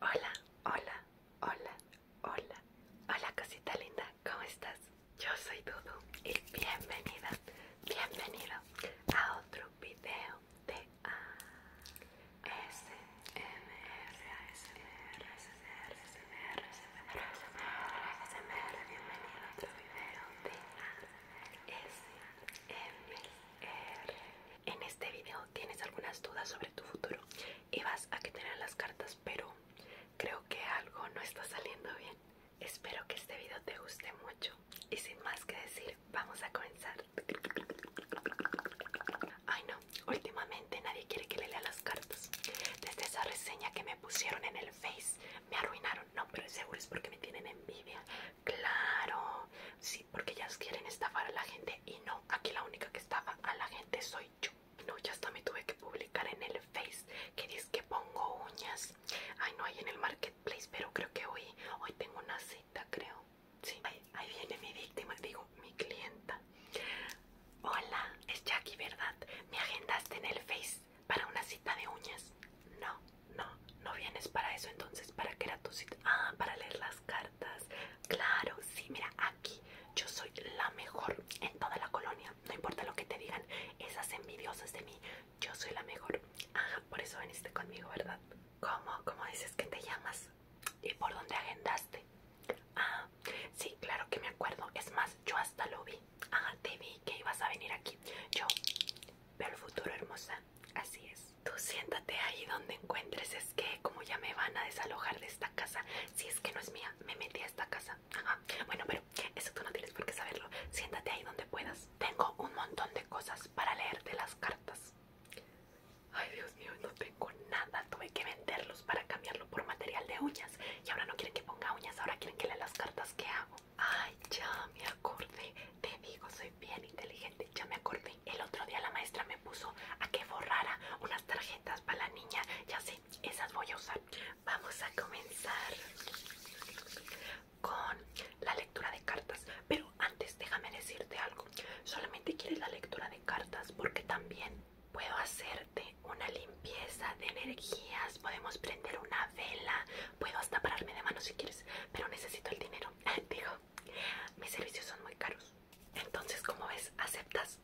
Hola, hola, hola, Hola, hola cosita linda, ¿cómo estás? Yo soy Dudu y bienvenida, bienvenido a otro video de ASMR. Bienvenido a otro video de ASMR. En este video tienes algunas dudas sobre tu futuro y vas a que tener las cartas, pero creo que algo no está saliendo bien. Espero que este video te guste mucho y sin más que decir, vamos a comenzar. Ay no, últimamente nadie quiere que le lea las cartas. Desde esa reseña que me pusieron en el Face, me arruinaron. No, pero seguro es porque me tienen envidia. Claro, sí, porque ellas quieren estafar a la gente y no, aquí la única que estafa a la gente soy no, ya hasta me tuve que publicar en el Face que dice que pongo uñas. Ay, no hay en el marketplace, pero creo que hoy, hoy tengo una cita, creo. Sí, ahí, viene mi víctima, digo, mi clienta. Hola, es Jackie, ¿verdad? ¿Me agendaste en el Face para una cita de uñas? No, no, no vienes para eso, entonces, ¿para qué era tu cita? Ah, para leer las cartas Claro, sí, mira, aquí yo soy la mejor en toda la colonia. No importa lo que te digan, esas envidiosas de mí, yo soy la mejor. Ajá, por eso veniste conmigo, ¿verdad? ¿Cómo? ¿Cómo dices que te llamas? ¿Y por dónde agendaste? Ah, sí, claro que me acuerdo. Es más, yo hasta lo vi. Ajá, te vi que ibas a venir aquí. Yo veo el futuro, hermosa. Así es. Tú siéntate ahí donde encuentres que como ya me van a desalojar de esta casa, si es que no es mía, me metí a esta casa. Bueno, pero eso tú no tienes por qué saberlo. Siéntate ahí donde puedas. Tengo un montón de cosas para leerte las cartas. Ay, Dios mío, no tengo nada. Tuve que venderlos para cambiarlo por material de uñas. Y ahora no quieren que ponga uñas, ahora quieren que lea las cartas que hago. Ay, ya me acordé. Te digo, soy bien inteligente. Ya me acordé. El otro día la maestra me puso a que borrara unas tarjetas para la niña. Ya sé, esas voy a usar. Vamos a comenzar con la lectura de cartas. Pero antes déjame decirte algo. Solamente quieres la lectura de cartas porque también puedo hacerte una limpieza de energías. Podemos prender una vela. Puedo hasta pararme de mano si quieres. Pero necesito el dinero. Digo, mis servicios son muy caros. Entonces, como ves, ¿aceptas?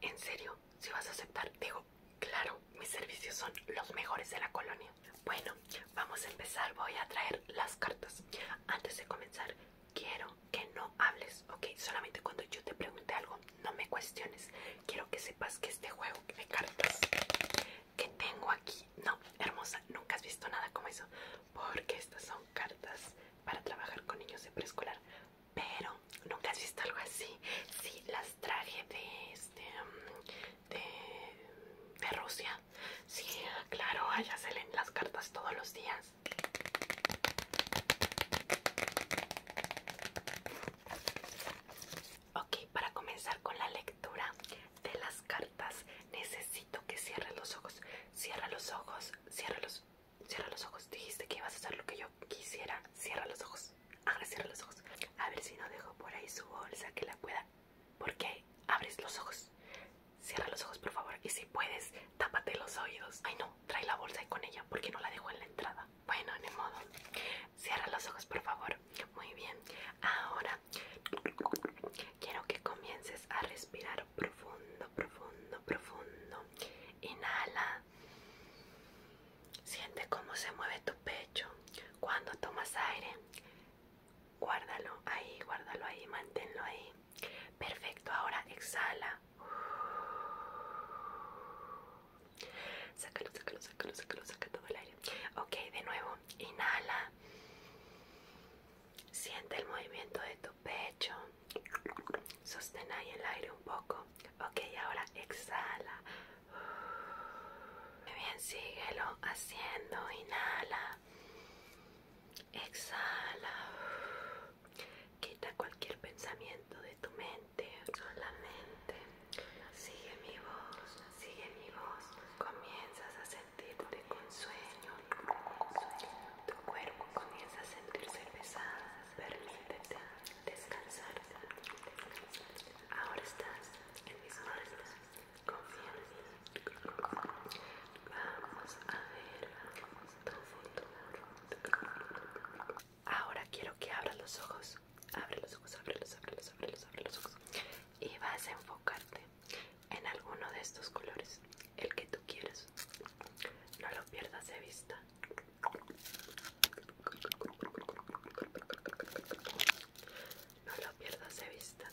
¿En serio? ¿Si vas a aceptar? Digo, claro, mis servicios son los mejores de la colonia. Bueno, vamos a empezar. Voy a traer las cartas. Antes de comenzar, quiero que no hables, ¿ok? Solamente cuando yo te pregunte algo, no me cuestiones. Quiero que sepas que este juego de cartas que tengo aquí... No, hermosa, nunca has visto nada como eso. Porque estas son cartas para trabajar con niños de preescolar pero nunca has visto algo así. Sí, las traje de este mm, de, mm, de Rusia. Sí, claro, allá se leen las cartas todos los días. Ok, para comenzar con la lectura de las cartas, necesito que cierres los ojos. Cierra los ojos, cierra los Cierra los ojos. Dijiste que ibas a hacer lo que yo quisiera. Cierra los ojos. Ahora cierra los ojos. A ver si no dejo por ahí su bolsa que la pueda. Porque abres los ojos. Cierra los ojos, por favor. Y si puedes, tápate los oídos. Ay, no, trae la bolsa y con ella porque no la dejo en la entrada. Bueno, ni modo. Cierra los ojos, por favor. Muy bien. Ahora quiero que comiences a respirar profundo, profundo, profundo. Inhala. Siente cómo se mueve tu pecho cuando tomas aire. Guárdalo ahí, guárdalo ahí, manténlo ahí. Perfecto, ahora exhala. sácalo, sácalo, sácalo, saca todo el aire. Ok, de nuevo, inhala. Siente el movimiento de tu pecho. Sostén ahí el aire un poco. Ok, ahora exhala. Muy bien, síguelo haciendo. Inhala. Exhala. Quita cualquier pensamiento de tu mente. Solamente sigue mi voz. Sigue mi voz. Comienzas a sentirte con sueño. Tu cuerpo comienza a sentirse pesado. Permítete descansar. Ahora estás en mis manos. Confía en mí. Vamos a ver tu futuro. Ahora quiero que abras los ojos. Abre los ojos, abre los, abre abre los ojos. Y vas a enfocarte en alguno de estos colores el que tú quieres. No lo pierdas de vista. No lo pierdas de vista.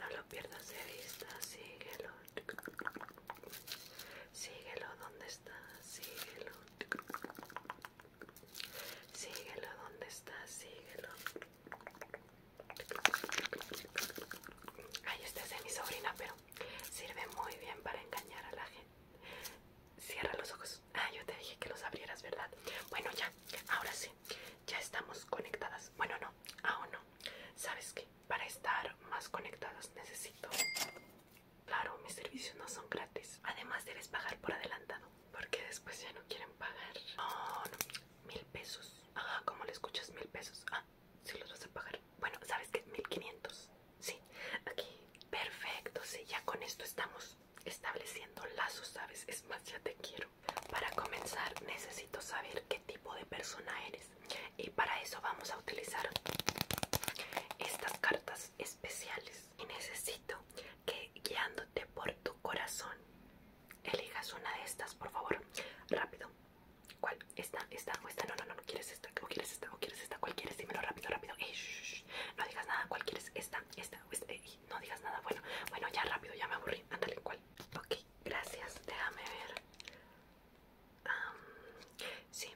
No lo pierdas de vista. Síguelo. Síguelo donde está. Síguelo. Síguelo ¿dónde está. Síguelo. Ahí está, es de mi sobrina, pero sirve muy bien para engañar a la gente. Cierra los ojos. Ah, yo te dije que los abrieras, ¿verdad? Bueno, ya, ahora sí, ya estamos conectadas. Bueno, no, aún no. ¿Sabes qué? Para estar más conectadas necesito... Claro, mis servicios no son gratis. Además debes pagar por adelantado, porque después ya no quieren pagar. Oh, no mil pesos. Ajá, ¿cómo le escuchas? Mil pesos. Ah, si los vas a pagar. Bueno, ¿sabes que Mil quinientos. Sí, aquí. Perfecto, sí, ya con esto estamos estableciendo lazos, ¿sabes? Es más, ya te quiero. Para comenzar, necesito saber qué tipo de persona eres. Y para eso vamos a utilizar estas cartas especiales. Y necesito que guiándote por tu corazón Elijas una de estas, por favor. Rápido. ¿Cuál? ¿Esta? ¿Esta? ¿O esta? No, no, no, no. ¿Quieres esta? ¿O quieres esta? ¿O quieres esta? ¿Cuál quieres? Dímelo rápido, rápido. No digas nada. ¿Cuál quieres? ¿Esta? ¿Esta? ¿O esta? no digas nada. Bueno, bueno, ya rápido, ya me aburrí. Ándale, ¿cuál? Ok, gracias. Déjame ver. sí,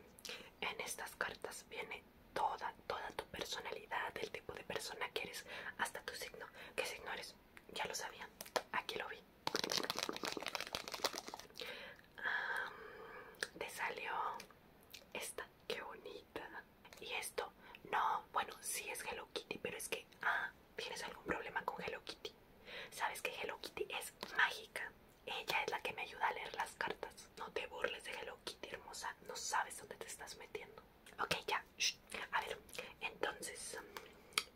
en estas cartas viene toda, toda tu personalidad, el tipo de persona que eres, hasta tu signo. ¿Qué signo eres? Ya lo sabía. Aquí lo vi te salió esta, qué bonita. Y esto, no, bueno, Si es Hello Kitty, pero es que, ah, tienes algún problema con Hello Kitty. Sabes que Hello Kitty es mágica. Ella es la que me ayuda a leer las cartas. No te burles de Hello Kitty, hermosa. No sabes dónde te estás metiendo. Ok, ya, a ver, entonces,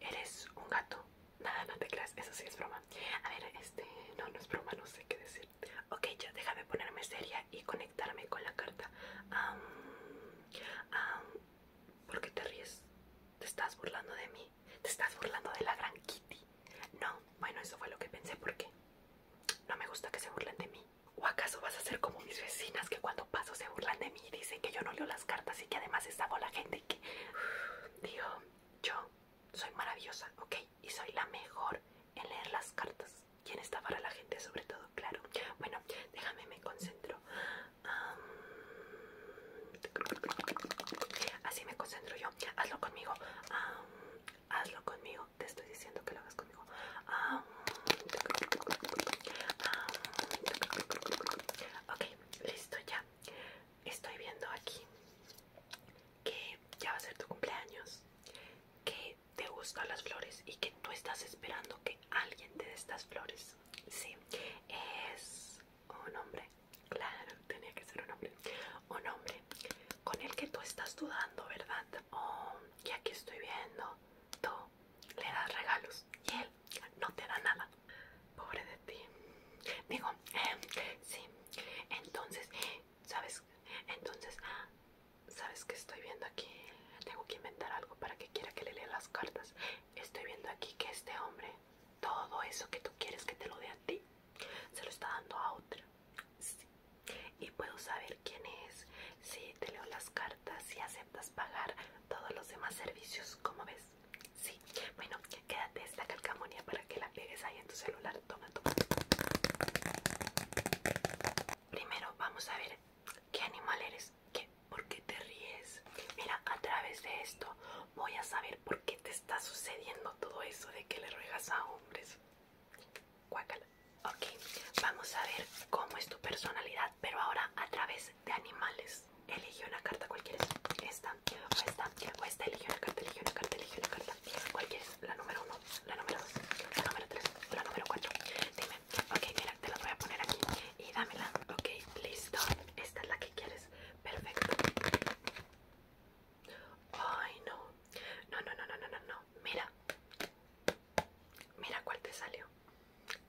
eres un gato, nada, no te creas, eso sí es broma, a ver, este, no, no es broma, no sé qué decir, ok, ya, déjame ponerme seria y conectarme con la carta, ¿por qué te ríes? ¿Te estás burlando de mí? ¿Te estás burlando de la gran Kitty? No, bueno, eso fue lo que pensé, porque no me gusta que se burlen de mí. ¿O acaso vas a ser como mis vecinas que cuando paso se burlan de mí? y dice que yo no leo las cartas y que además estaba la gente y que digo, yo soy maravillosa, ¿ok? Y soy la mejor en leer las cartas quién en para la gente sobre todo, claro. Bueno, déjame, me concentro. así me concentro yo. Hazlo conmigo. hazlo conmigo. Te estoy diciendo que lo hagas conmigo. Ok, listo ya. Estoy viendo aquí que ya va a ser tu cumpleaños, que te gustan las flores y que tú estás esperando que alguien te dé estas flores. Sí, es un hombre, claro, tenía que ser un hombre. Un hombre con el que tú estás dudando, ¿verdad? Oh, y aquí estoy viendo, tú le das regalos y él no te da nada. Pobre de ti. Digo, eh, sí. Entonces, ¿sabes? Entonces, ¿sabes que estoy viendo aquí? Tengo que inventar algo para que quiera que le lea las cartas. Estoy viendo aquí que este hombre, todo eso que tú quieres que te lo dé a ti, se lo está dando a otra. Sí. Y puedo saber quién es si te leo las cartas si aceptas pagar todos los demás servicios, como ves? Sí, bueno, quédate esta calcamonía para que la pegues ahí en tu celular. Toma, toma. Primero vamos a ver qué animal eres, qué, por qué te ríes. Mira, a través de esto voy a saber por qué te está sucediendo todo eso de que le ruegas a hombres. Cuácala. Ok, vamos a ver cómo es tu personalidad, pero ahora a través de animales. elige una carta, ¿cuál quieres? Esta, o esta, esta, eligió una carta, elige una carta, eligió una carta. ¿Cuál quieres? La número uno, la número dos, la número tres, la número cuatro. Dime, ok, mira, te la voy a poner aquí y dámela. Ok, listo. Esta es la que quieres. Perfecto. Ay, no. No, no, no, no, no, no. Mira. Mira cuál te salió.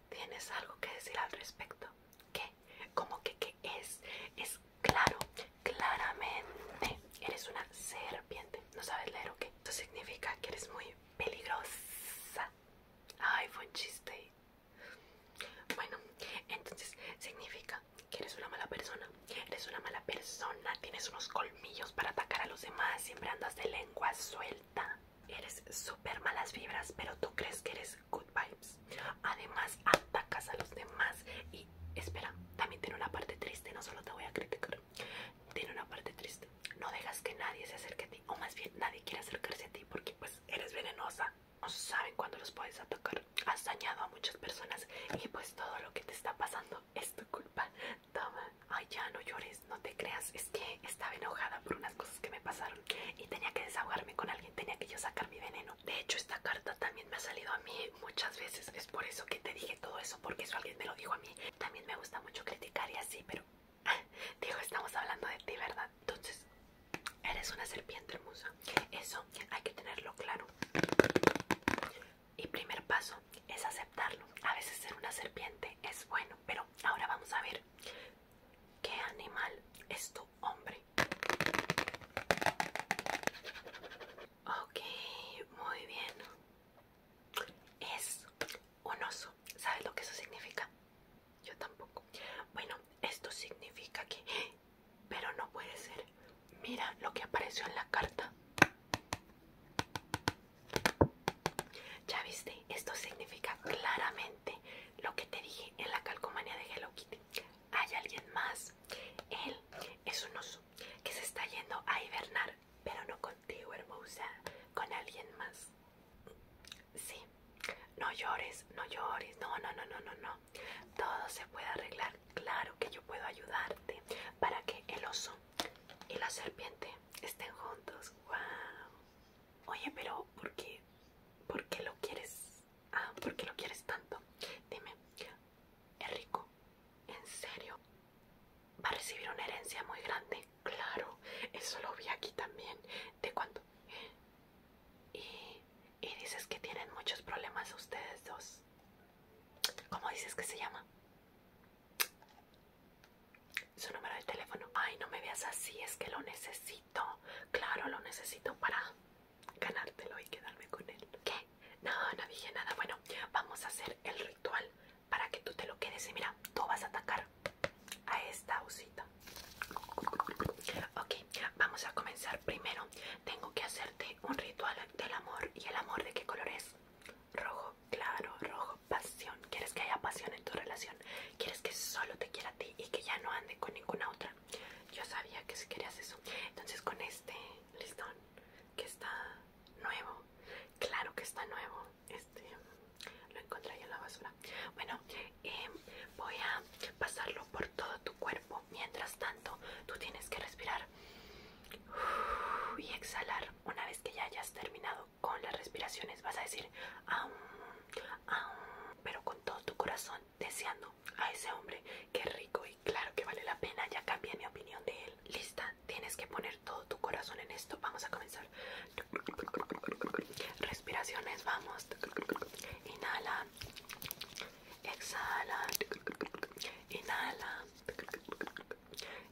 ¿Tienes algo que decir al respecto? ¿Qué? Como que qué es? Es claro, claramente eres una serpiente. ¿No sabes leer o qué? Esto significa que eres muy peligrosa. Ay, fue un chiste. Bueno, entonces significa que eres una mala persona. Eres una mala persona. Tienes unos colmillos para atacar a los demás. Siempre andas de lengua suelta eres súper malas vibras, pero tú crees que eres good vibes. Además, atacas a los demás. Y espera, también tiene una parte triste, no solo te voy a criticar. Tiene una parte triste. No dejas que nadie se acerque a ti, o más bien nadie quiere acercarse a ti porque pues eres venenosa. No saben cuándo los puedes atacar. Has dañado a muchas personas y pues todo lo que te está pasando es tu culpa. Toma. Ay, ya no llores, no te creas. Es que estaba enojada por unas cosas que me pasaron y tenía que desahogarme con alguien, tenía que yo sacar mi veneno. De hecho, esta carta también me ha salido a mí muchas veces, es por eso que te dije todo eso, porque eso alguien me lo dijo a mí. También me gusta mucho criticar y así, pero ah, digo, estamos hablando de ti, ¿verdad? Entonces, eres una serpiente hermosa, eso hay que tenerlo claro. Y primer paso es aceptarlo. A veces ser una serpiente es bueno, pero ahora vamos a ver ¿Qué animal es tu hombre? Ok, muy bien. Es un oso. ¿Sabes lo que eso significa? Yo tampoco. Bueno, esto significa que... Pero no puede ser. Mira lo que apareció en la carta. Ya viste, esto significa claramente lo que te dije en la calcomanía de Hello Kitty. Hay alguien más. Él es un oso que se está yendo a hibernar, pero no contigo, hermosa, con alguien más. Sí, no llores, no llores, no, no, no, no, no, no. Todo se puede arreglar. Claro que yo puedo ayudarte para que el oso y la serpiente estén juntos. ¡Wow! Oye, pero ¿por qué? ¿Por qué lo quieres? Ah, ¿por qué lo quieres tanto? Dime, es rico, en serio. Va a recibir una herencia muy grande. Claro, eso lo vi aquí también. ¿De cuánto? Y, y dices que tienen muchos problemas ustedes dos. ¿Cómo dices que se llama? su número de teléfono. Ay, no me veas así, es que lo necesito. Claro, lo necesito para ganártelo y quedarme con él. ¿Qué? No, no dije nada. Bueno, vamos a hacer el ritual para que tú te lo quedes. Y mira, tú vas a atacar a esta usita. Ok, vamos a comenzar. Primero, tengo que hacerte un ritual del amor. ¿Y el amor de qué color es? Rojo, claro, rojo pasión. ¿Quieres que haya pasión en tu relación? ¿Quieres que solo te quiera a ti y que ya no ande con ninguna otra? Yo sabía que si querías eso. Entonces con este listón que está nuevo, claro que está nuevo, este lo encontré en la basura. Bueno, em, voy a pasarlo por todo tu cuerpo. Mientras tanto, tú tienes que respirar y exhalar. Una vez que ya hayas terminado, con las respiraciones vas a decir aún, aún, pero con todo tu corazón deseando a ese hombre que rico y claro que vale la pena, ya cambié mi opinión de él. Lista, tienes que poner todo tu corazón en esto. Vamos a comenzar. Respiraciones, vamos. Inhala. Exhala. Inhala.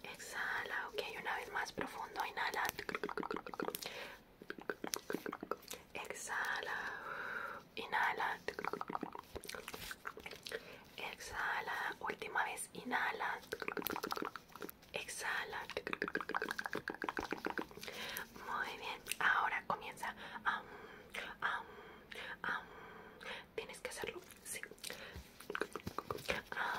Exhala, ok, una vez más profundo, inhala. Exhala, inhala. Exhala, última vez, inhala. Exhala. Muy bien, ahora comienza. Tienes que hacerlo. Sí. Um,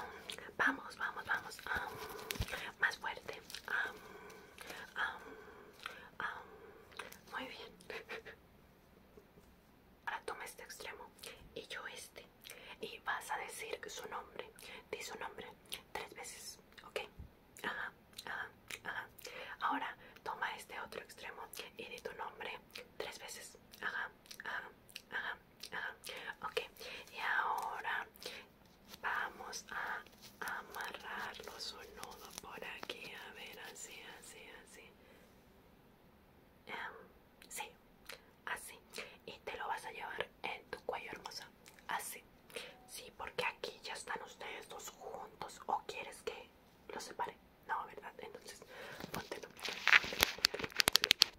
vamos, vamos, vamos. Um, más fuerte. Um, muy bien. Ahora toma este extremo y yo este. Y vas a decir su nombre. Di su nombre tres veces. ¿Ok? Ajá, ajá, ajá. Ahora toma este otro extremo y di tu nombre tres veces. Ajá, ajá, ajá ok. Y ahora vamos a amarrarlo un nudo por aquí. A ver, así, así, así. Em, sí, así. Y te lo vas a llevar en tu cuello, hermosa. Así. Sí, porque aquí ya están ustedes dos juntos. ¿O quieres que los separe? No, ¿verdad? Entonces, póntelo.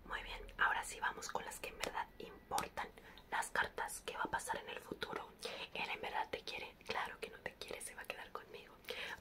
Muy bien, ahora sí vamos con las que en verdad importan las cartas, Que va a pasar en el futuro. Él en verdad te quiere, claro que no te quiere, se va a quedar conmigo.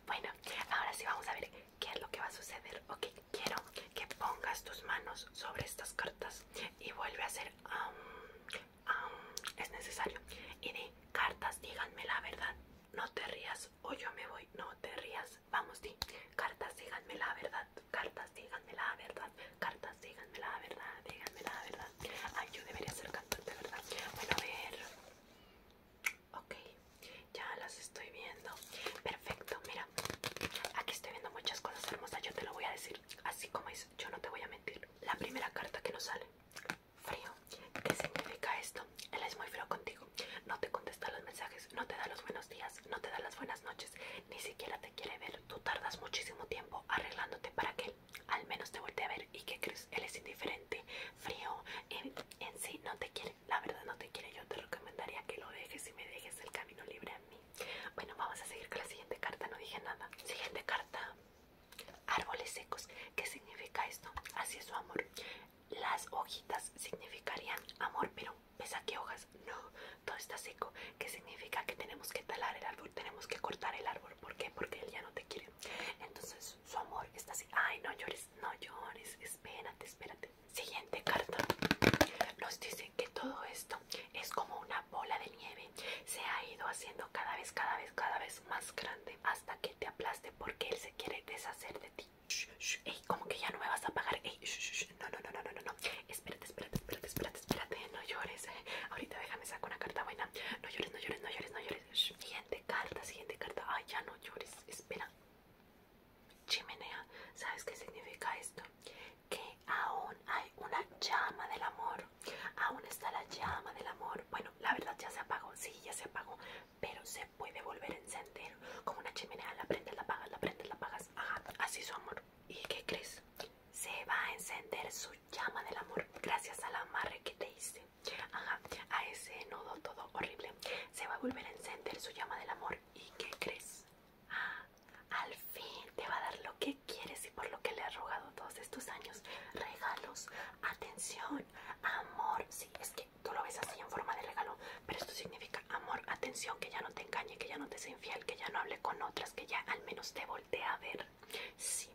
Bueno, ahora sí vamos a ver qué es lo que va a suceder. Ok, quiero que pongas tus manos sobre estas cartas y vuelve a hacer... Um, um, es necesario. Y de cartas, díganme la verdad. No te rías o yo me voy. No te rías vamos, di. Cartas, díganme la verdad. Cartas, díganme la verdad. Cartas, díganme la verdad. díganmela verdad. Ay, yo debería ser cantante, ¿verdad? Bueno, a ver. Ok, ya las estoy viendo. Perfecto, mira. Aquí estoy viendo muchas cosas hermosas. Yo te lo voy a decir así como es. Yo no te voy a mentir. La primera carta que nos sale. Frío. ¿Qué significa esto? Él es muy frío contigo. No te contesta los mensajes. No te da los buenos días. No te da las buenas noches. Ni siquiera te quiere ver, tú tardas muchísimo tiempo arreglándote para que al menos te voltee a ver. ¿Y que crees? Él es indiferente, frío, en, en sí no te quiere. La verdad no te quiere. Yo te recomendaría que lo dejes y me dejes el camino libre a mí. Bueno, vamos a seguir con la siguiente carta. No dije nada. Siguiente carta. Árboles secos. ¿Qué significa esto? Así es su amor. Las hojitas significarían amor, pero ¿Ves aquí hojas? No, todo está seco. ¿Qué significa? Que tenemos que talar el árbol, tenemos que cortar el árbol. ¿Por qué? Porque él ya no te quiere. Entonces su amor está así. Ay, no llores, no llores. Espérate, espérate. Siguiente carta. Nos dice que todo esto es como una bola de nieve. Se ha ido haciendo cada vez, cada vez, cada vez más grande hasta que te aplaste porque él se quiere deshacer de ti como que ya no me vas a pagar. no, no, no, no, no, no. Espérate, espérate, espérate, espérate, espérate. No llores. Eh. Ahorita déjame sacar una carta buena. No llores, no llores, no llores, no llores. Siguiente carta, siguiente carta. Ay, ya no llores. Espera. Chimenea. ¿Sabes qué significa esto? Que aún hay una llama del amor. Aún está la llama del amor. Bueno, la verdad ya se apagó. Sí, ya se apagó. Pero se puede volver a encender. Como una chimenea, la prendes, la apagas, la prendes, la apagas. Ajá, así su amor. ¿Y qué crees? Se va a encender su llama del amor gracias al amarre que te hice. Ajá, a ese nudo todo horrible. Se va a volver a encender su llama del amor. ¿Y qué crees? Ah, al fin te va a dar lo que quieres y por lo que le has rogado todos estos años. Regalos, atención, amor. Sí, es que tú lo ves así en forma de regalo, pero esto significa amor, atención que ya no te engañe, que ya no te sea infiel, que ya no hable con otras, que ya al menos te voltee a ver. Sí,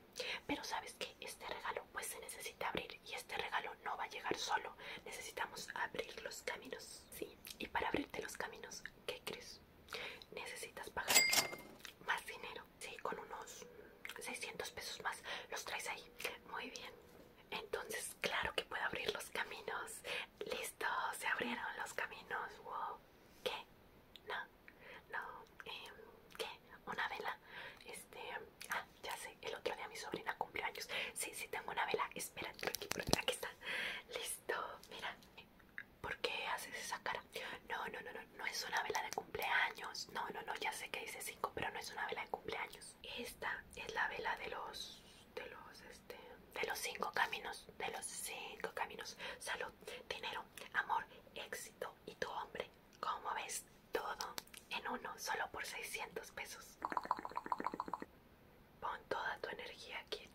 pero sabes que este regalo pues se necesita abrir y este regalo no va a llegar solo. Necesitamos abrir los caminos. Sí, y para abrirte los caminos, ¿qué crees? Necesitas pagar más dinero. Sí, con unos 600 pesos más los traes ahí. Muy bien. Entonces, claro que puedo abrir los caminos. Listo, se abrieron los caminos. Wow. ¿Qué? No, no. Em, ¿Qué? Una vela. Este, ah, ya sé. El otro día mi sobrina cumpleaños, Sí, sí tengo una vela. Espera, aquí, aquí está. Listo. Mira. ¿Por qué haces esa cara? No, no, no, no. No es una vela de cumpleaños. No, no, no. Ya sé que dice 5, pero no es una vela de cumpleaños. Esta es la vela de los, de los este, de los cinco caminos, de los cinco caminos, salud, dinero, amor, éxito y tu hombre. ¿Cómo ves, todo en uno, solo por 600 pesos. Pon toda tu energía aquí.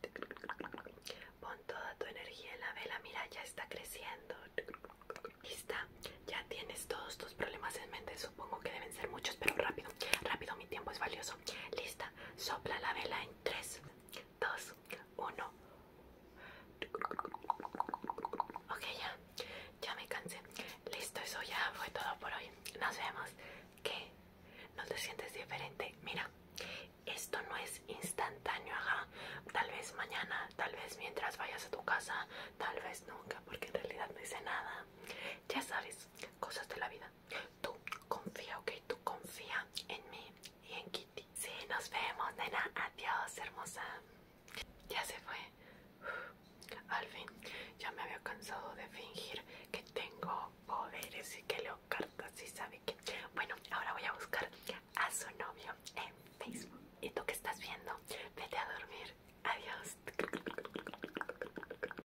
Pon toda tu energía en la vela. Mira, ya está creciendo. Lista. Ya tienes todos tus problemas en mente. Supongo que deben ser muchos, pero rápido. Rápido, mi tiempo es valioso. Lista. Sopla la vela en 3, 2, 1. Ok, ya. Ya me cansé. Listo, eso ya fue todo por hoy. Nos vemos. ¿Qué? ¿No te sientes diferente? Mira, esto no es instantáneo, ajá. Tal vez mañana, tal vez mientras vayas a tu casa, tal vez nunca, porque en realidad no hice nada. Ya sabes, cosas de la vida. Tú confía, ok, tú confía en mí y en Kitty. Sí, nos vemos, nena. Adiós, hermosa. Ya se fue. al fin, ya me había cansado de fingir que tengo poderes y que lo cartas y sabe que. Bueno, ahora voy a buscar a su novio en Facebook. ¿Y tú qué estás viendo? Vete a dormir. Adiós.